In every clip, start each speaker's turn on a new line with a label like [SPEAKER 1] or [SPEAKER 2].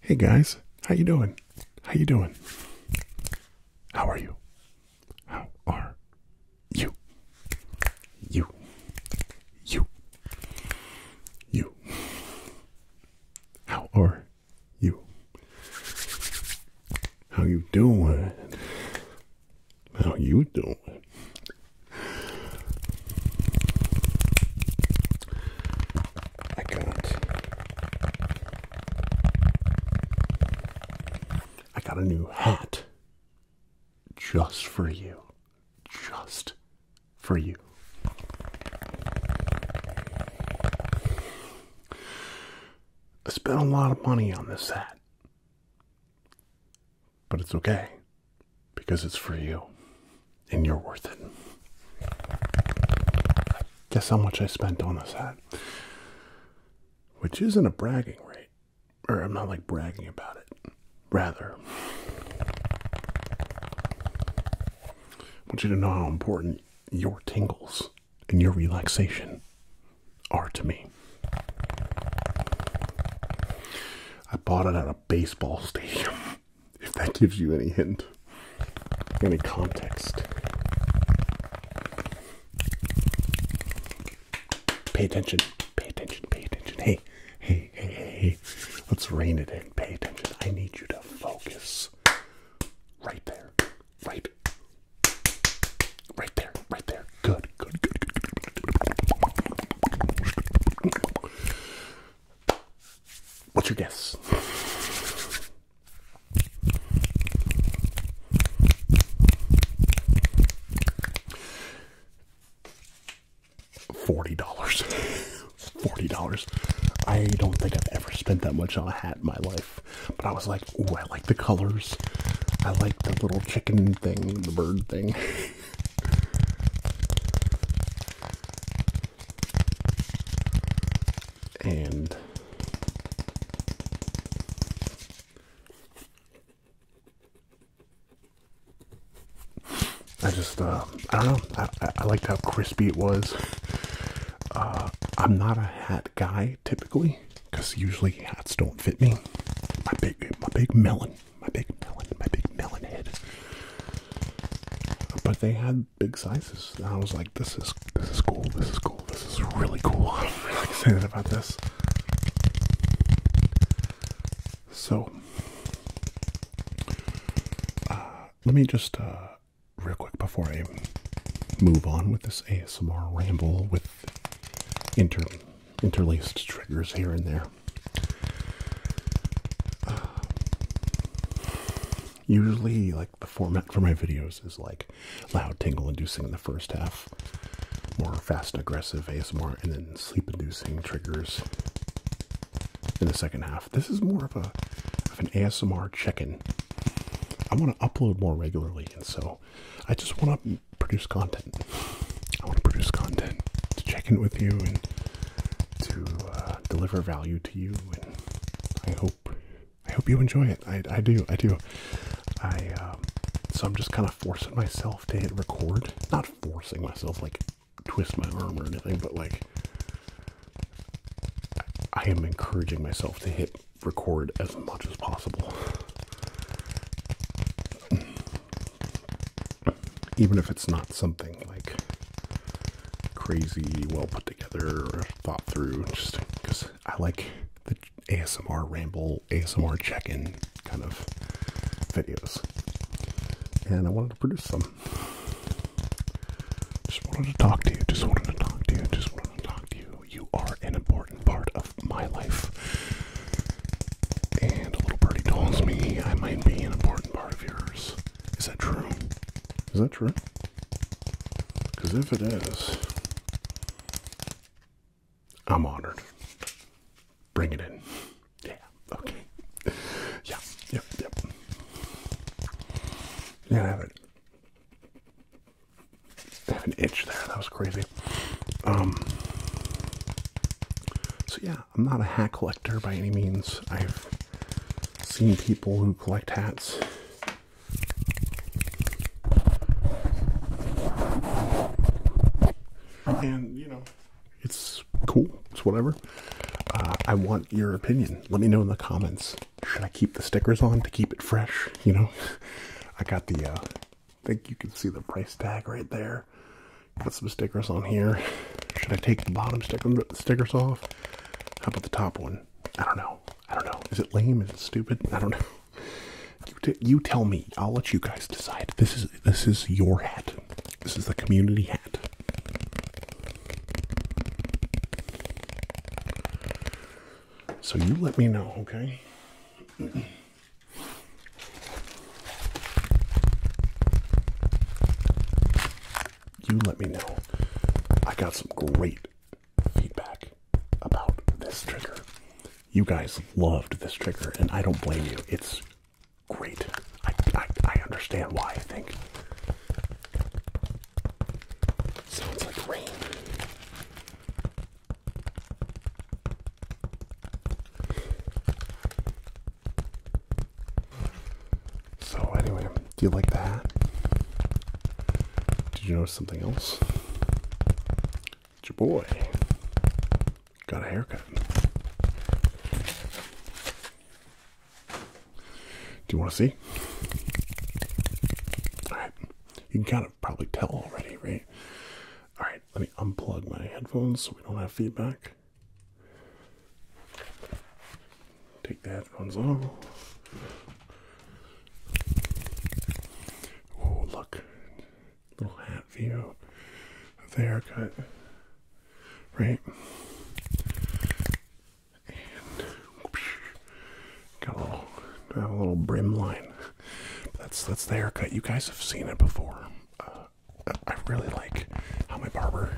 [SPEAKER 1] Hey guys, how you doing? How you doing? How are you? How are you? You. You. You. How are you? How you doing? How you doing? I got I got a new hat just for you. Just for you. I spent a lot of money on this hat. But it's okay because it's for you and you're worth it. Guess how much I spent on this hat? Which isn't a bragging rate, or I'm not like bragging about it. Rather, I want you to know how important your tingles and your relaxation are to me. I bought it at a baseball stadium, if that gives you any hint, any context. Pay attention, pay attention, pay attention. Hey, hey, hey, hey, hey. Let's rein it in. Pay attention. I need you to focus. Right there. Right. Right there, right there. Good, good, good, good, good. What's your guess? Forty dollars. Forty dollars. I don't think I've ever spent that much on a hat in my life. But I was like like, I like the colors. I like the little chicken thing, the bird thing. and I just, uh, I don't know. I, I liked how crispy it was. Uh, I'm not a hat guy typically because usually hats don't fit me. My big, my big melon, my big melon, my big melon head. But they had big sizes, and I was like, "This is this is cool. This is cool. This is really cool." I'm really excited about this. So, uh, let me just uh, real quick before I move on with this ASMR ramble with inter interlaced triggers here and there. usually, like the format for my videos is like loud, tingle-inducing in the first half, more fast, aggressive ASMR, and then sleep-inducing triggers in the second half. This is more of a of an ASMR check-in. I want to upload more regularly, and so I just want to produce content. I want to produce content to check in with you and to uh, deliver value to you. And I hope I hope you enjoy it. I, I do. I do. I um, so I'm just kind of forcing myself to hit record. Not forcing myself like twist my arm or anything, but like I am encouraging myself to hit record as much as possible. Even if it's not something like crazy, well put together, or thought through, just because I like the ASMR ramble, ASMR check in kind of videos. And I wanted to produce some. Just wanted to talk to you, just wanted to talk to you, just wanted to talk to you you. You are an important part of my life. And a little birdie tells me I might be an important part of yours. Is that true? Is that true? Because if it is, I'm honored. Bring it in. Yeah, okay. Yeah, yep, yep. Yeah, have it. I have an itch there. That was crazy. Um, so yeah, I'm not a hat collector by any means. I've seen people who collect hats. And, you know, it's cool. It's whatever. Uh, I want your opinion. Let me know in the comments. Should I keep the stickers on to keep it fresh? You know, I got the uh, I think you can see the price tag right there. Got some stickers on here. Should I take the bottom sticker the stickers off? How about the top one? I don't know. I don't know. Is it lame? Is it stupid? I don't know. You, you tell me. I'll let you guys decide. This is this is your hat. This is the community hat. So you let me know, okay? You let me know. I got some great feedback about this trigger. You guys loved this trigger, and I don't blame you. It's great. I, I, I understand why, I think. Sounds like rain. So anyway, do you like that? Did you notice something else? It's your boy. Got a haircut. Do you want to see? Alright. You can kind it probably tell already, right? All right, let me unplug my headphones so we don't have feedback. Take the headphones off. Oh, look. Little hat view of the haircut, right? Got a little, have a little brim line. that's that's the haircut. You guys have seen it before. Uh, I really like how my barber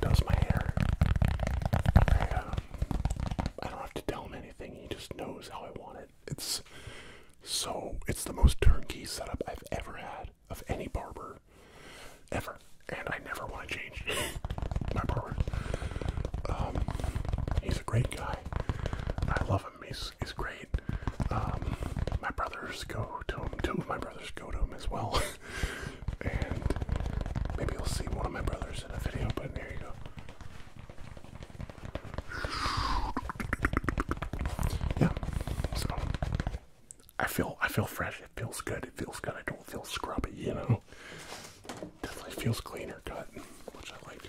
[SPEAKER 1] does my hair. Uh, I, don't have to tell him anything. He just knows how I want it. It's so it's the most turnkey setup I've ever had of any barber ever, and I never want to change my barber. Um, he's a great guy. I love him. He's he's great. Um, my brothers go to him. Two of my brothers go to him as well. and maybe you'll see one of my brothers in a video. But there you go. Yeah. So I feel I feel fresh. It feels good. It feels good. I don't feel scrubby. You know. Definitely feels cleaner cut, which I like.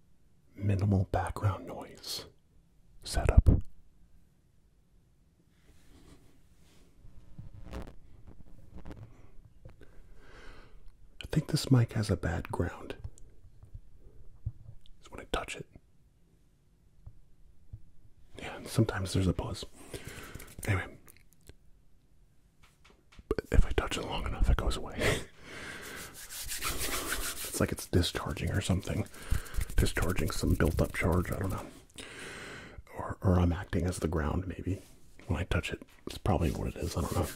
[SPEAKER 1] minimal background noise setup. I think this mic has a bad ground. Just when I touch it. Yeah, sometimes there's a pause. Anyway, but if I touch it long enough, it goes away. it's like it's discharging or something. Discharging some built up charge, I don't know. Or, or I'm acting as the ground, maybe. When I touch it, it's probably what it is, I don't know.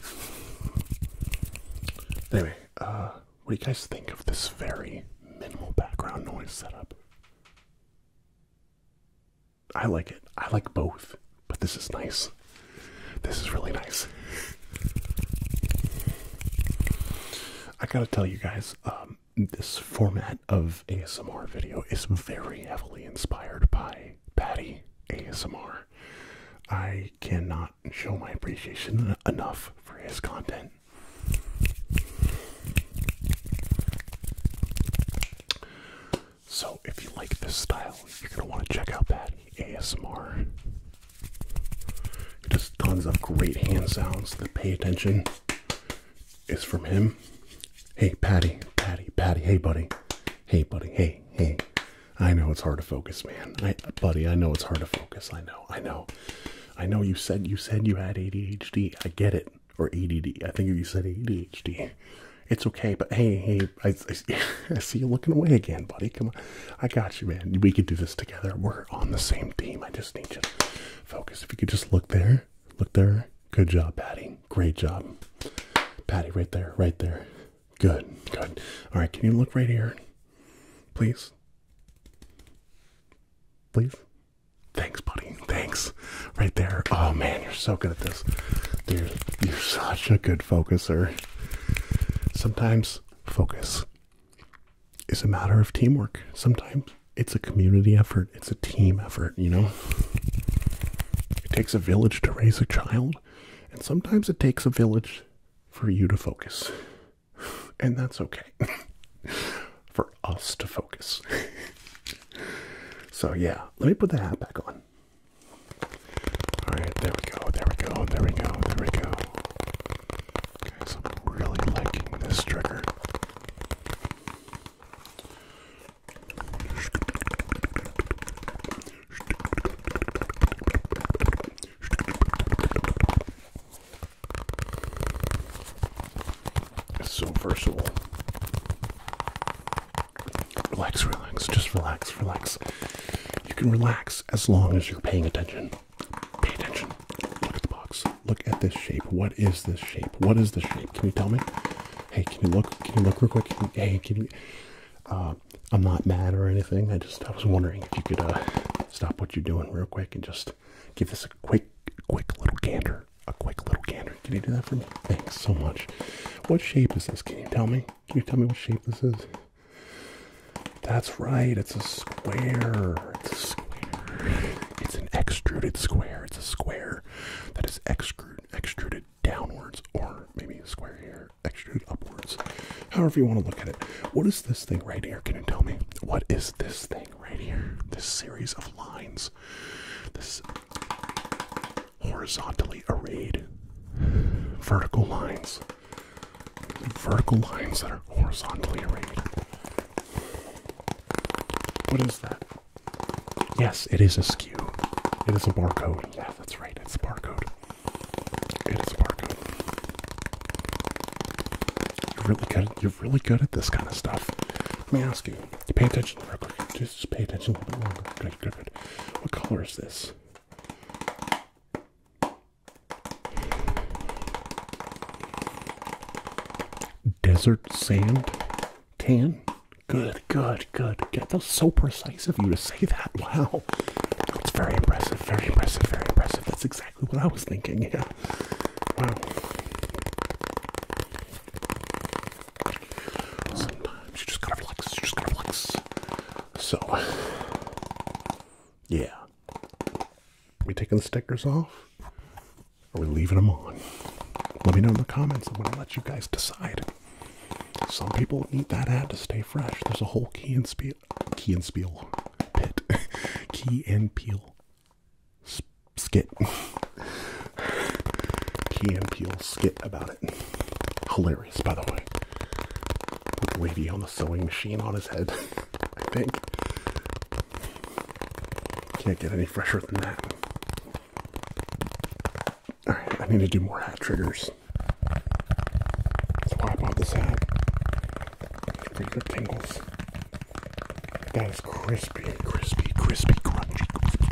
[SPEAKER 1] Anyway, uh, what do you guys think of this very minimal background noise setup? I like it. I like both. But this is nice. This is really nice. I gotta tell you guys, um, this format of ASMR video is very heavily inspired by Patty ASMR. I cannot show my appreciation enough for his content. So if you like this style, you're gonna want to check out Patty ASMR. Just tons of great hand sounds The pay attention is from him. Hey Patty, Patty, Patty, hey buddy. Hey buddy, hey, hey. I know it's hard to focus, man. I buddy, I know it's hard to focus. I know, I know. I know you said you said you had ADHD. I get it. Or ADD. I think you said ADHD. It's okay, but hey, hey, I, I, see you looking away again, buddy. Come on, I got you, man. We could do this together. We're on the same team. I just need you to focus. If you could just look there, look there. Good job, Patty. Great job, Patty. Right there, right there. Good, good. All right, can you look right here, please? Please. Thanks, buddy. Thanks. Right there. Oh man, you're so good at this. Dude, you're such a good focuser. Sometimes focus is a matter of teamwork. Sometimes it's a community effort, it's a team effort, you know? It takes a village to raise a child, and sometimes it takes a village for you to focus. And that's okay. for us to focus. so, yeah, let me put the hat back on. Alright, there we go, there we go, there we go, there we go. Guys, I'm really liking this trigger. It's so versatile. Relax, relax, just relax, relax. You can relax as long as you're paying attention. Pay attention. Look at the box. Look at this shape. What is this shape? What is this shape? Can you tell me? Hey, can you look? Can you look real quick? hey, can you? Uh, I'm not mad or anything. I just I was wondering if you could uh, stop what you're doing real quick and just give this a quick, quick little gander. A quick little gander. Can you do that for me? Thanks so much. What shape is this? Can you tell me? Can you tell me what shape this is? That's right, it's a square. It's a square. It's an extruded square. It's a square that is extruded downwards, or maybe a square here, extruded upwards. However you want to look at it. What is this thing right here? Can you tell me? What is this thing right here? This series of lines. This horizontally arrayed vertical lines. Vertical lines that are horizontally arrayed. What is that? Yes, it is a skew. It is a barcode. Yeah, that's right. It's a barcode. It is a barcode. You're really good. At, you're really good at this kind of stuff. Let me ask you. Pay attention real quick. Just pay attention a little bit longer. What color is this? Desert sand tan. Good, good, good. Yeah, that so precise of you to say that. Wow. it's very impressive, very impressive, very impressive. That's exactly what I was thinking. Yeah. Wow. Sometimes you just gotta flex, you just gotta flex. So, yeah. We taking the stickers off? Or we leaving them on? Let me know in the comments. I'm gonna let you guys decide. Some people need that ad to stay fresh. There's a whole key and spiel, key and spiel pit, key and peel skit, key and peel skit about it. Hilarious by the way. put the lady on the sewing machine on his head, I think. Can't get any fresher than that. Alright, I need to do more hat triggers. That's why I bought this hat. Regular tingles. That is crispy, crispy, crispy, crunchy, crispy.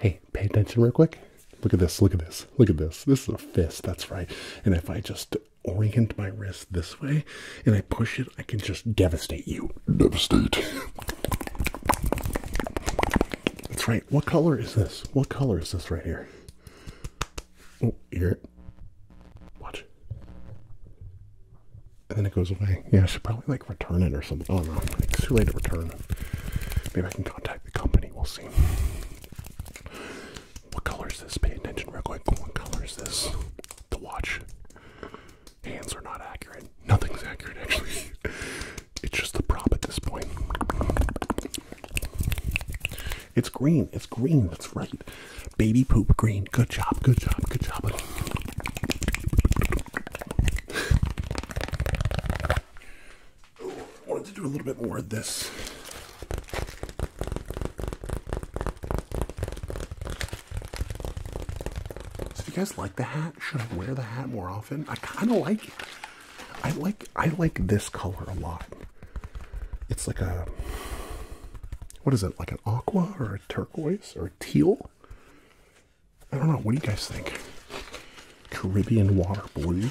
[SPEAKER 1] Hey, pay attention real quick. Look at this. Look at this. Look at this. This is a fist. That's right. And if I just orient my wrist this way and I push it, I can just devastate you. Devastate. That's right. What color is this? What color is this right here? Oh, hear it. Watch. And then it goes away. Yeah, I should probably like return it or something. Oh no, it's too late to return. Maybe I can contact the company. We'll see. What color is this? Pay attention real quick. What color is this? The watch. Hands are not accurate. Nothing's accurate actually. it's just the prop at this point. It's green. It's green. That's right. Baby poop green. Good job. Good job. Good job. I wanted to do a little bit more of this. So if you guys like the hat, should I wear the hat more often? I kind of like it. I like I like this color a lot. It's like a what is it? Like an aqua or a turquoise or a teal? I don't know. What do you guys think? Caribbean water blue.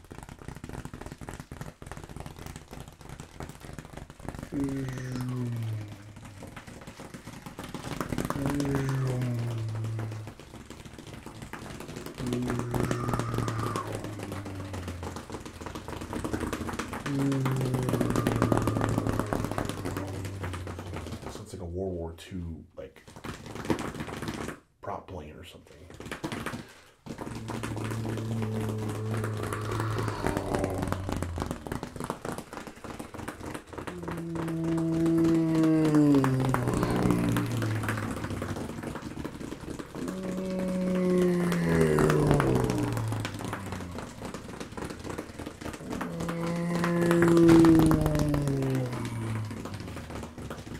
[SPEAKER 1] So it's like a World War II like prop plane or something.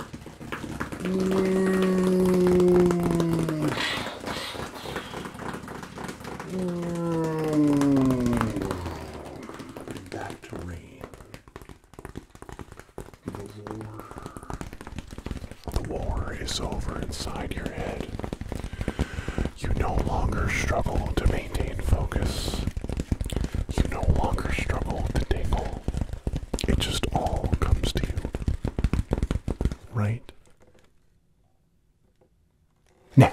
[SPEAKER 1] Back to rain. The war. is over inside your head. You no longer struggle to maintain focus. You no longer struggle to dangle. It just all comes to you right now.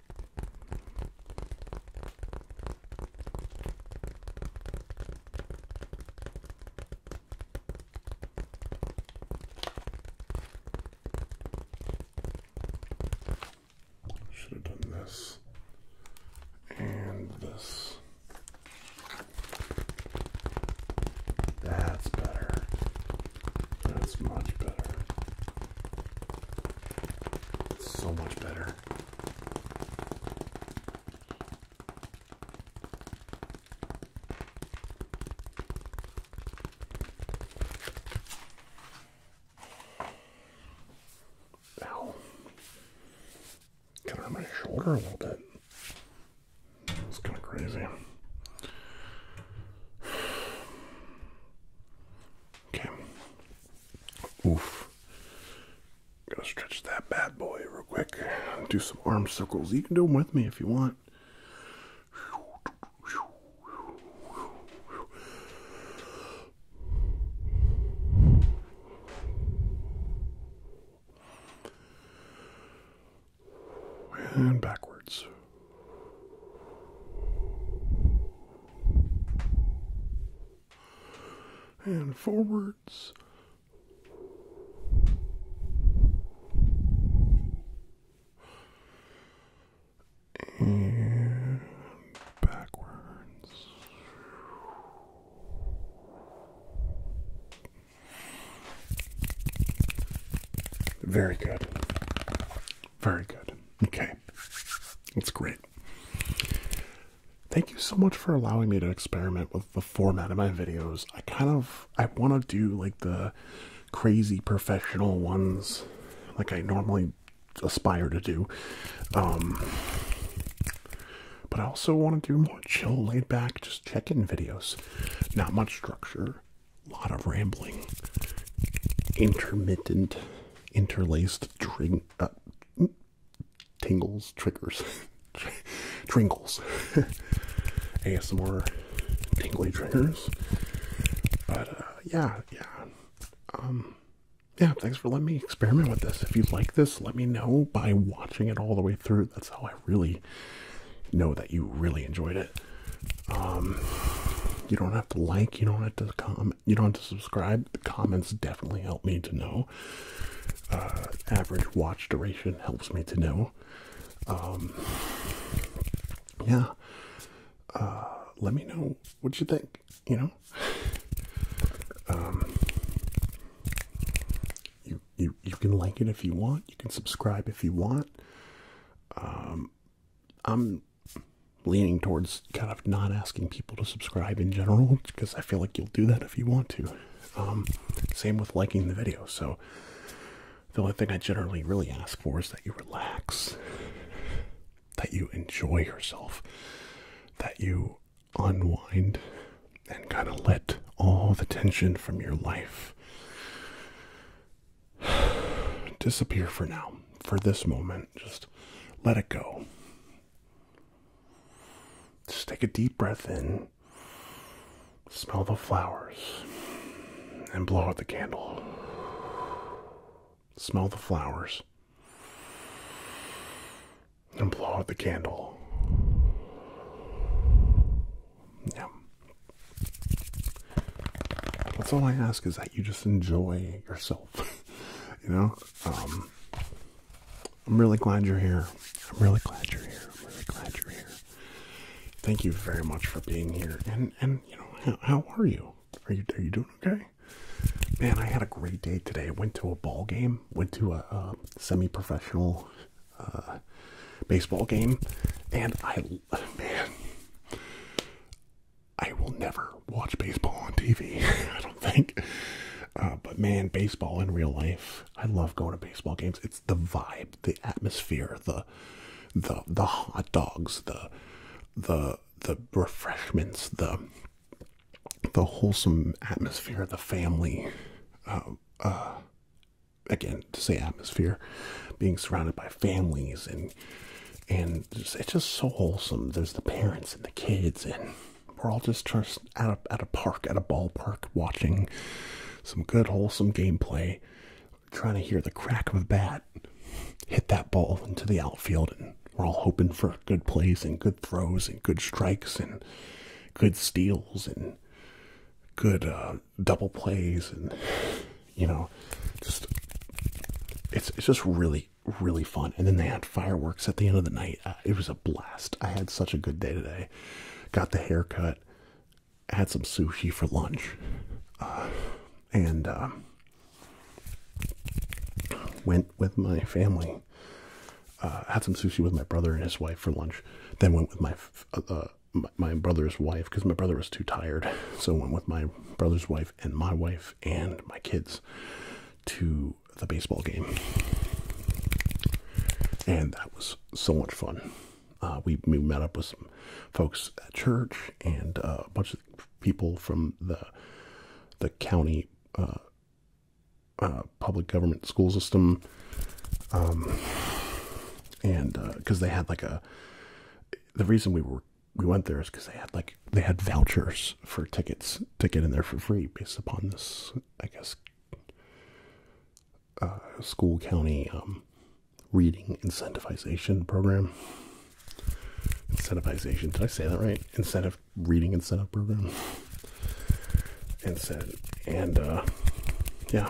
[SPEAKER 1] Should have done this and this. That's better. That's much better. So much better. Ow. Got it my shoulder a little bit. It's kind of crazy. Okay. Oof. Gotta stretch that bad boy real quick. Do some arm circles. You can do them with me if you want. And backwards and forwards. And backwards. Very good. Very good. Okay. That's great. Thank you so much for allowing me to experiment with the format of my videos. I kind of I want to do like the crazy professional ones like I normally aspire to do. Um but I also want to do more chill laid back just check-in videos. Not much structure a lot of rambling, intermittent, interlaced uh, tingles, triggers, trinkles, ASMR tingly triggers. But uh, yeah, yeah. Um, yeah, thanks for letting me experiment with this. If you like this, let me know by watching it all the way through. That's how I really know that you really enjoyed it. Um, you don't have to like, you don't have to comment, you don't have to subscribe. The comments definitely help me to know. Uh, average watch duration helps me to know. Um, yeah. Uh, let me know what you think, you know? Um, you, you, you can like it if you want, you can subscribe if you want. I'm leaning towards kind of not asking people to subscribe in general because I feel like you'll do that if you want to. Um, same with liking the video. So the only thing I generally really ask for is that you relax, that you enjoy yourself, that you unwind and kind of let all the tension from your life disappear for now, for this moment. Just let it go. Just take a deep breath in, smell the flowers, and blow out the candle. Smell the flowers, and blow out the candle. Yeah. That's all I ask is that you just enjoy yourself. you know, um, I'm really glad you're here. I'm really glad you're here. I'm really glad you're here. Thank you very much for being here. And and you know, how, are you? Are you are you doing okay? Man, I had a great day today. I went to a ball game. Went to a, semi-professional uh, baseball game, and I man, I will never watch baseball on TV. I don't think. Uh, but man, baseball in real life, I love going to baseball games. It's the vibe, the atmosphere, the the the hot dogs, the the the refreshments, the the wholesome atmosphere, the family. Um, uh, again, to say atmosphere, being surrounded by families and and it's just so wholesome. There's the parents and the kids, and we're all just at a park, at a ballpark, watching some good wholesome gameplay, trying to hear the crack of a bat hit that ball into the outfield, and we're all hoping for good plays and good throws and good strikes and good steals and good uh, double plays and you know, just it's it's just really really fun. And then they had fireworks at the end of the night. Uh, it was a blast. I had such a good day today. Got the haircut. Had some sushi for lunch, uh, and uh, went with my family. had some sushi with my brother and his wife for lunch. Then went with my my brother's wife because my brother was too tired. So went with my brother's wife and my wife and my kids to the baseball game. And that was so much fun. Uh, we, we met up with some folks at church and uh, a bunch of people from the the county uh, public government school system, um, and because they had like a the reason we were we went there because they had like they had vouchers for tickets to get in there for free based upon this I guess uh, school county um, reading incentivization program. Incentivization. Did I say that right? Instead of reading incentive program. Incentive and uh, yeah,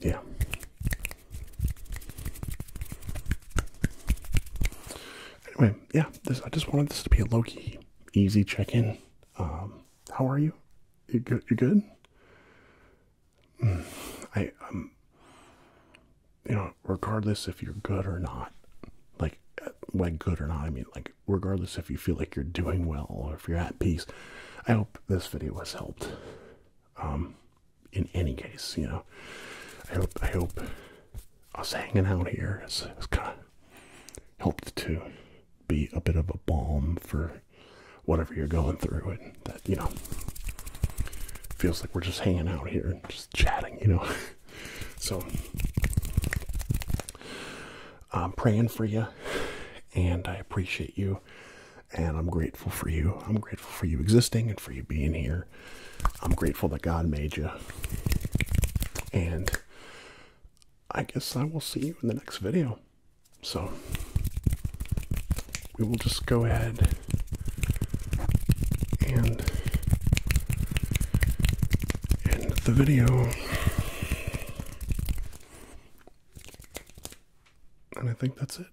[SPEAKER 1] Yeah. Anyway, yeah, I just wanted this to be a low key, easy check in. Um, how are you? You good? You good? Mm, I um, you know, regardless if you're good or not, like like uh, good or not, I mean, like regardless if you feel like you're doing well or if you're at peace, I hope this video has helped. Um, in any case, you know, I hope I hope us hanging out here has, kind of helped to be a bit of a balm for whatever you're going through, and that you know feels like we're just hanging out here and just chatting, you know. so I'm praying for you, and I appreciate you and I'm grateful for you. I'm grateful for you existing and for you being here. I'm grateful that God made you. And I guess I will see you in the next video. So we will just go ahead and end the video. And I think that's it.